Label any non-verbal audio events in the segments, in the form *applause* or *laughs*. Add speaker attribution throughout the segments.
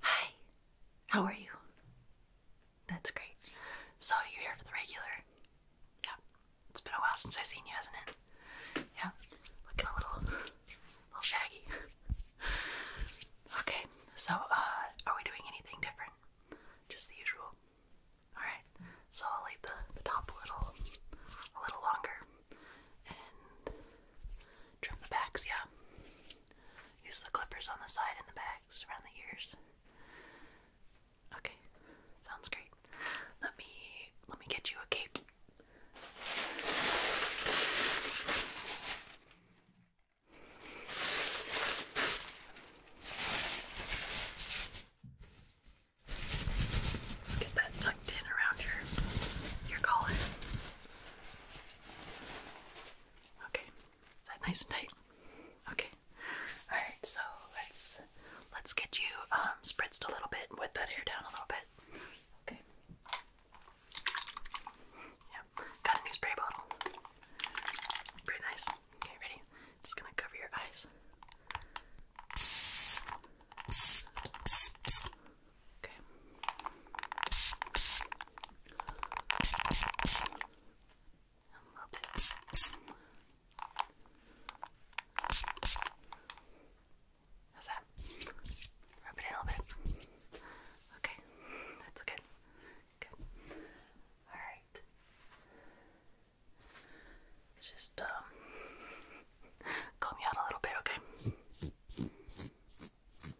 Speaker 1: Hi, how are you? That's great. So, you're here for the regular? Yeah, it's been a while since I've seen you, hasn't it? Yeah, looking a little, little shaggy. Okay, so, uh, are we doing anything different? Just the usual. Alright, so I'll leave the, the top a little, a little longer and trim the backs, yeah? Use the clippers on the side and the backs around the ears. Okay, sounds great. Let me let me get you a cape. get that tucked in around your your collar. Okay, is that nice and tight? Okay. All right, so let's let's get you um, spritzed a little bit, wet that hair down a little bit. Okay. Yeah, got a new spray bottle. Pretty nice. Okay, ready? Just gonna cover your eyes. Okay. How's that? Rub it a little bit. Okay, that's good. Good. Alright. let just um comb you out a little bit, okay?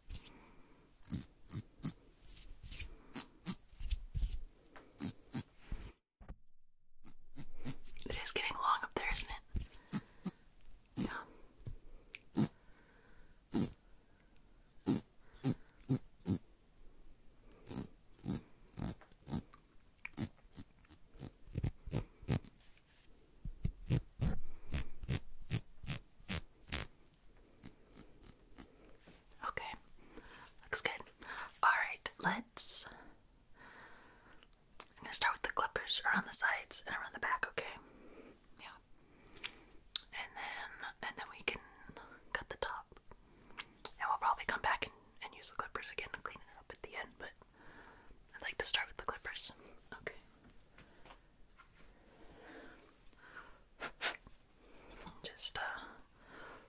Speaker 1: It is getting long up there, isn't it? Yeah. Okay, looks good. Alright, let's. I'm gonna start with the clippers around the sides and around the back, okay? Yeah. And then and then we can cut the top. And we'll probably come back and, and use the clippers again to clean it up at the end, but I'd like to start with the clippers. Okay. Just uh,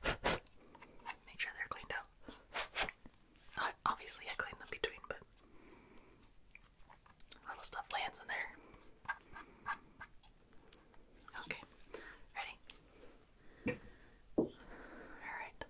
Speaker 1: make sure they're cleaned out. Obviously, I clean them between, but little stuff lands in there. Okay, ready? All right.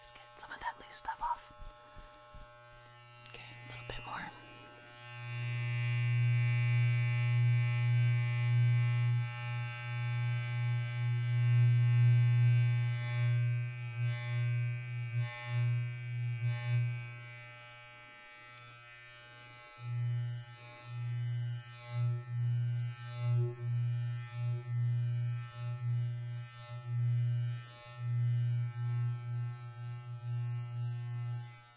Speaker 1: Just get some of that loose stuff off. Okay, a little bit more. Okay,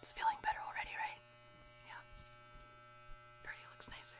Speaker 1: it's feeling better already, right? Yeah. already looks nicer.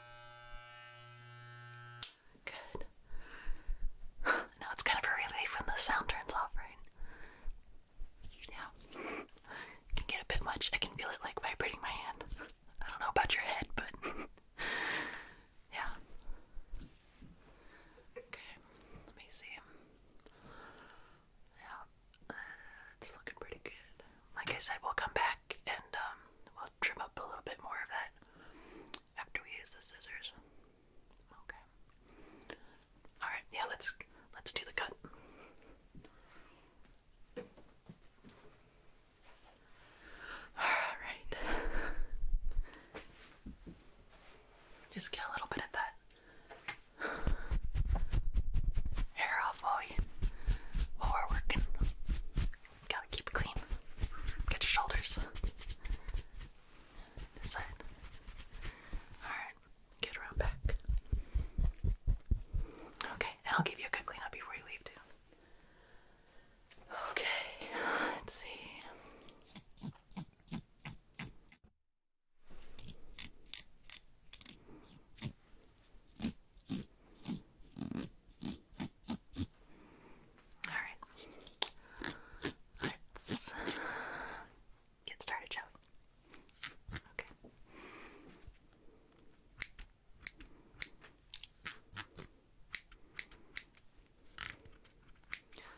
Speaker 1: Good. *sighs* now it's kind of a relief when the sound turns off, right? Yeah. can get a bit much. I can feel it like vibrating my hand. I don't know about your head, but *laughs* yeah. Okay, let me see. Yeah, uh, it's looking pretty good like I said, we'll come back and um, we'll trim up a little bit more of that after we use the scissors. Okay. All right. Yeah. Let's let's do the cut. All right. Just get a little bit of that hair off while, while we're working. Gotta keep it clean. Get your shoulders. This side. Alright, get around back. Okay, and I'll give you a good cleanup before you leave, too. Okay, let's see. Alright. Let's get started, Joe. Okay.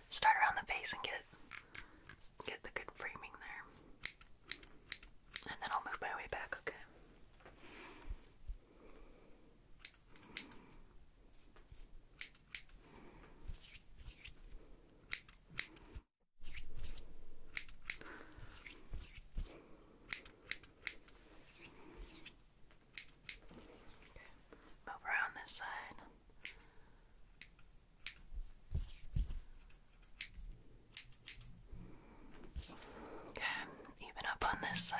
Speaker 1: Start around the face and get get the good framing there. And then I'll move my way back, okay? Move around this side. Okay. Okay, even up on this side.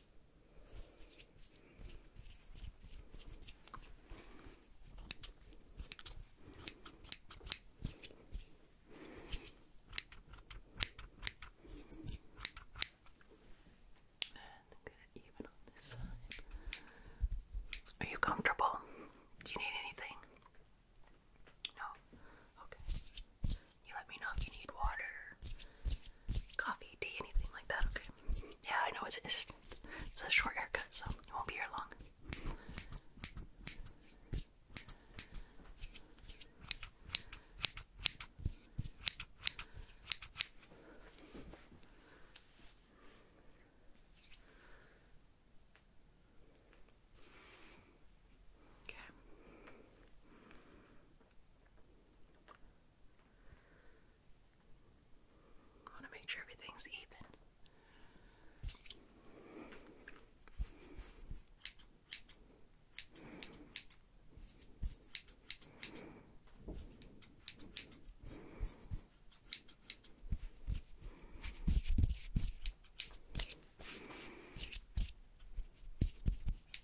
Speaker 1: I'm going even on this side. Are you comfortable? Do you need anything? No? Okay. You let me know if you need water, coffee, tea, anything like that, okay? Yeah, I know it's, it's, a short haircut, so it won't be here long. Okay want to make sure everything's even.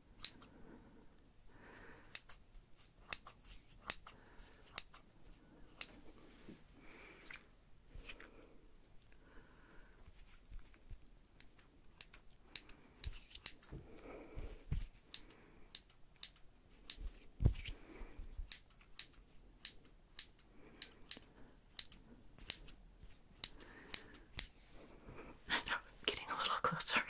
Speaker 1: I know, am getting a little closer. *laughs*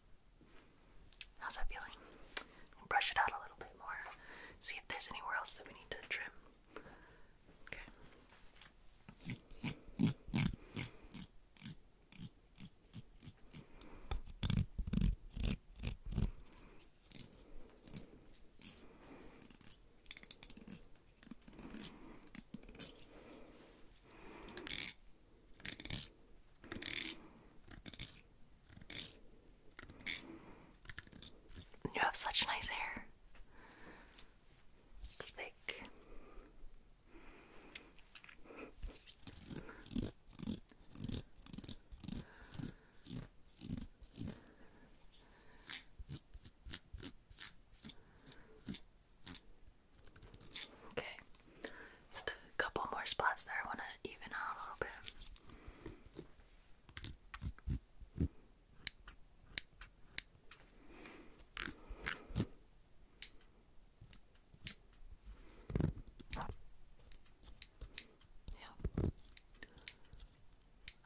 Speaker 1: How's that feeling? Brush it out a little bit more. See if there's anywhere else that we need to trim. Okay. You have such nice hair. thick. Okay. Just a couple more spots there. I want to even out a little bit. Yeah.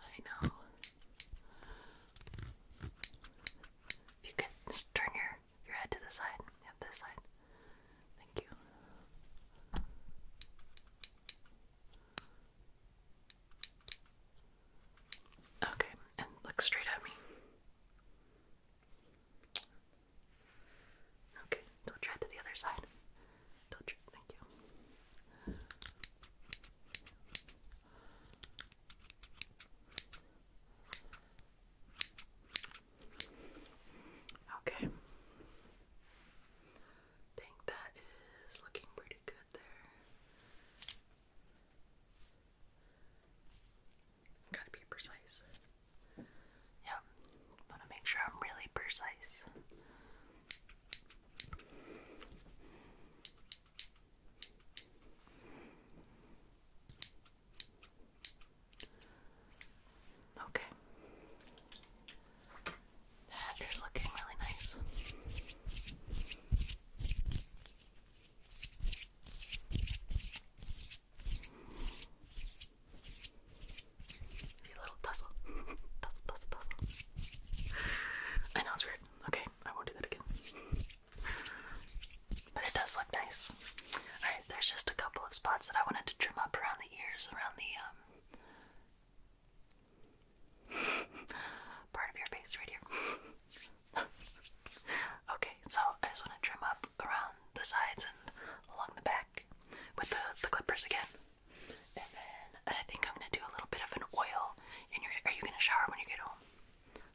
Speaker 1: I know. you could just turn your your head to the side. Yep, this side. Thank you. Okay, and look straight at me. Okay, don't try to the other side. Don't try. Thank you. Okay. Think that is looking pretty good there. Gotta be precise. Yep. Wanna make sure I'm really precise. Okay. That is looking really nice. You little tussle. tussle, *laughs* tussle, tussle. I know it's weird. Okay, I won't do that again. But it does look nice. Alright, there's just a couple of spots that I wanted to trim up around the ears, around the um *laughs* part of your face right here. *laughs* okay, so I just want to trim up around the sides and along the back with the, the clippers again. And then I think I'm gonna do a little bit of an oil in your are you gonna shower when you get home?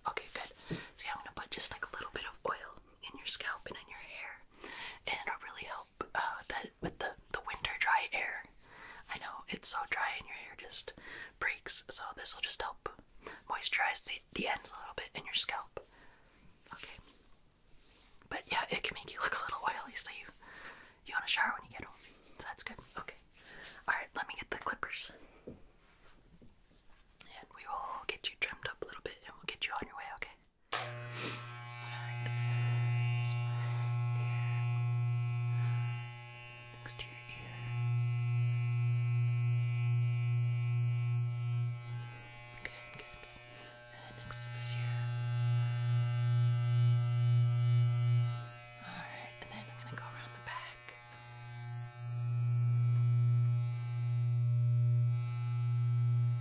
Speaker 1: Okay, good. So yeah, I'm gonna put just like a little bit of oil in your scalp and in your hair. And it'll really help uh, with the the winter dry air. I know it's so dry and your hair just breaks, so this will just help moisturize the, the ends a little bit in your scalp. Okay. But yeah, it can make you look a little oily, so you you want to shower when you get home. So that's good. Okay. All right, let me get the clippers. And we will get you trimmed up a little bit and we'll get you on your way, okay? Next to your ear. Good, good. And then next to this ear. Alright, and then I'm gonna go around the back. Good.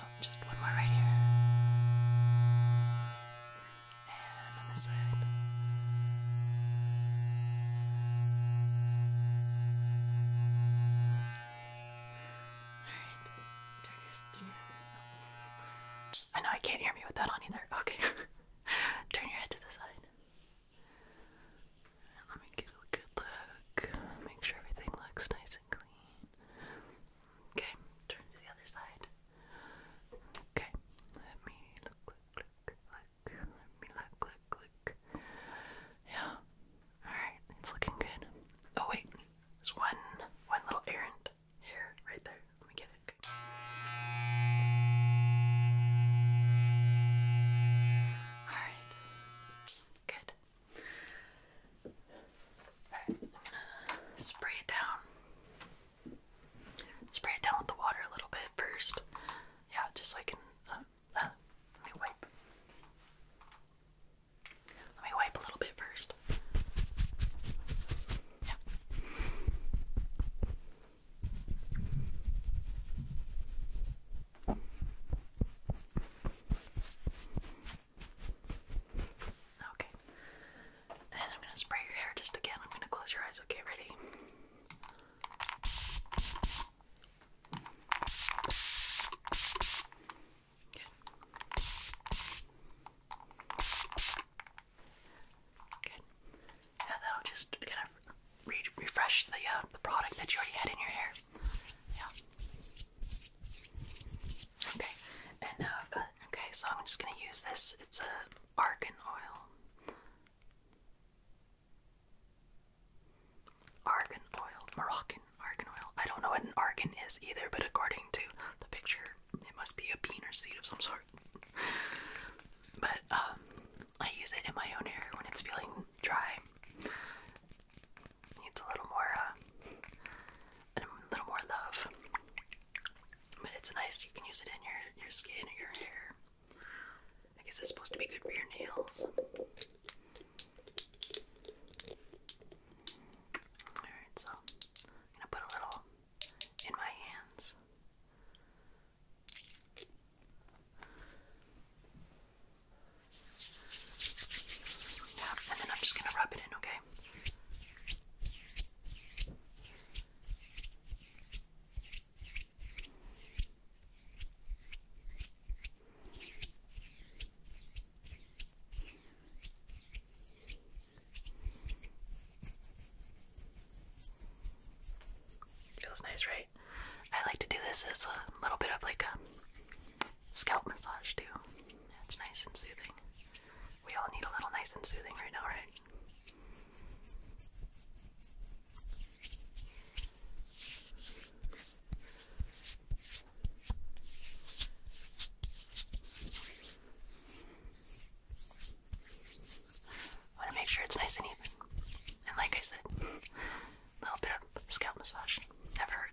Speaker 1: Oh, just one more right here. And on this side. Alright, Turner's I know I can't hear me with that on either. Okay. *laughs* Turn your head to the side let me get a good look. Make sure everything looks nice and clean. Okay, turn to the other side. Okay, let me look, look, look, Let me look, look, look. Yeah. Alright, it's looking good. Oh wait, there's one one little errant here, right there. Let me get it. Alright. Good. I'm gonna spray it down. Spray it down with the water a little bit first. Yeah, just so I can. let me wipe. Let me wipe a little bit first. Yeah. Okay. And I'm going to spray your hair just again. I'm going to close your eyes. Okay, ready? Okay. Good and that'll just kind of refresh the uh, the product that you already had in your hair. Yeah. Okay, and now uh, uh, okay, so I'm just gonna use this. It's a argan oil. Argan oil, Moroccan argan oil. I don't know what an argan is either, but according to the picture, it must be a bean seed of some sort. But um, I use it in my own hair when it's feeling dry. Needs a little more, uh, a little more love. But it's nice. You can use it in your your skin or your hair. I guess it's supposed to be good for your nails. Alright, so I'm gonna put a little in my hands. Yeah, and then I'm just going to rub it in, okay? Feels nice, right? I like to do this as a little bit of like a scalp massage too. It's nice and soothing. We all need a little nice and soothing right now, right? I want to make sure it's nice and even. And like I said, a little bit of scalp massage. Never hurt.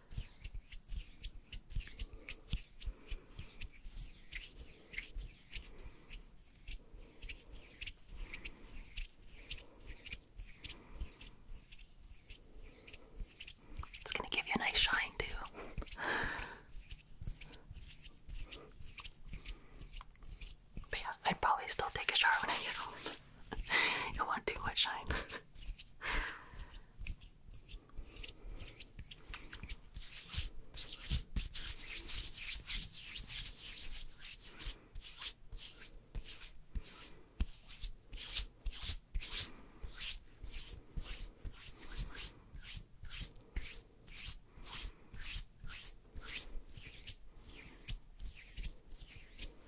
Speaker 1: It's going to give you a nice shine, too. But yeah, I'd probably still take a shower when I get home. I *laughs* want too much shine.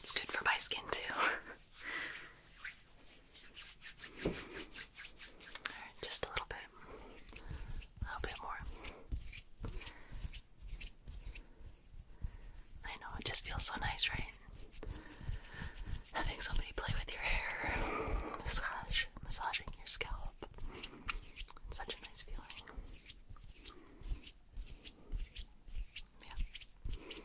Speaker 1: It's good for my skin too. *laughs* just a little bit. A little bit more. I know, it just feels so nice, right? Having somebody play with your hair, massage, massaging your scalp. such a nice feeling. Yeah.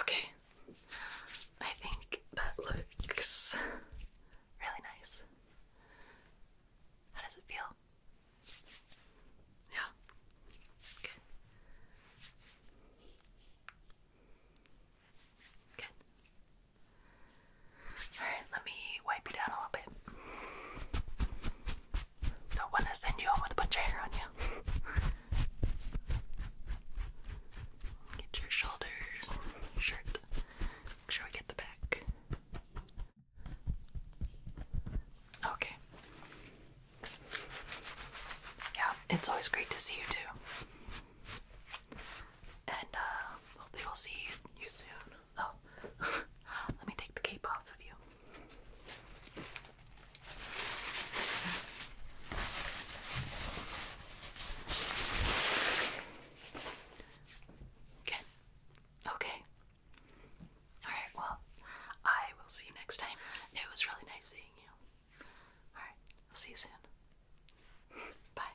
Speaker 1: Okay, I think that looks really nice. How does it feel? Yeah. Good. Good. Alright, let me wipe you down a little bit. Don't want to send you home with a bunch of hair on you. Get your shoulders, shirt. Make we get the back. Okay. Yeah, it's always great to see you too. And uh, hopefully, we'll see you soon. Oh, *laughs* let me take the cape off of you. Okay. Okay. Alright, well, I will see you next time. It was really nice seeing you. Alright, I'll see you soon. Bye.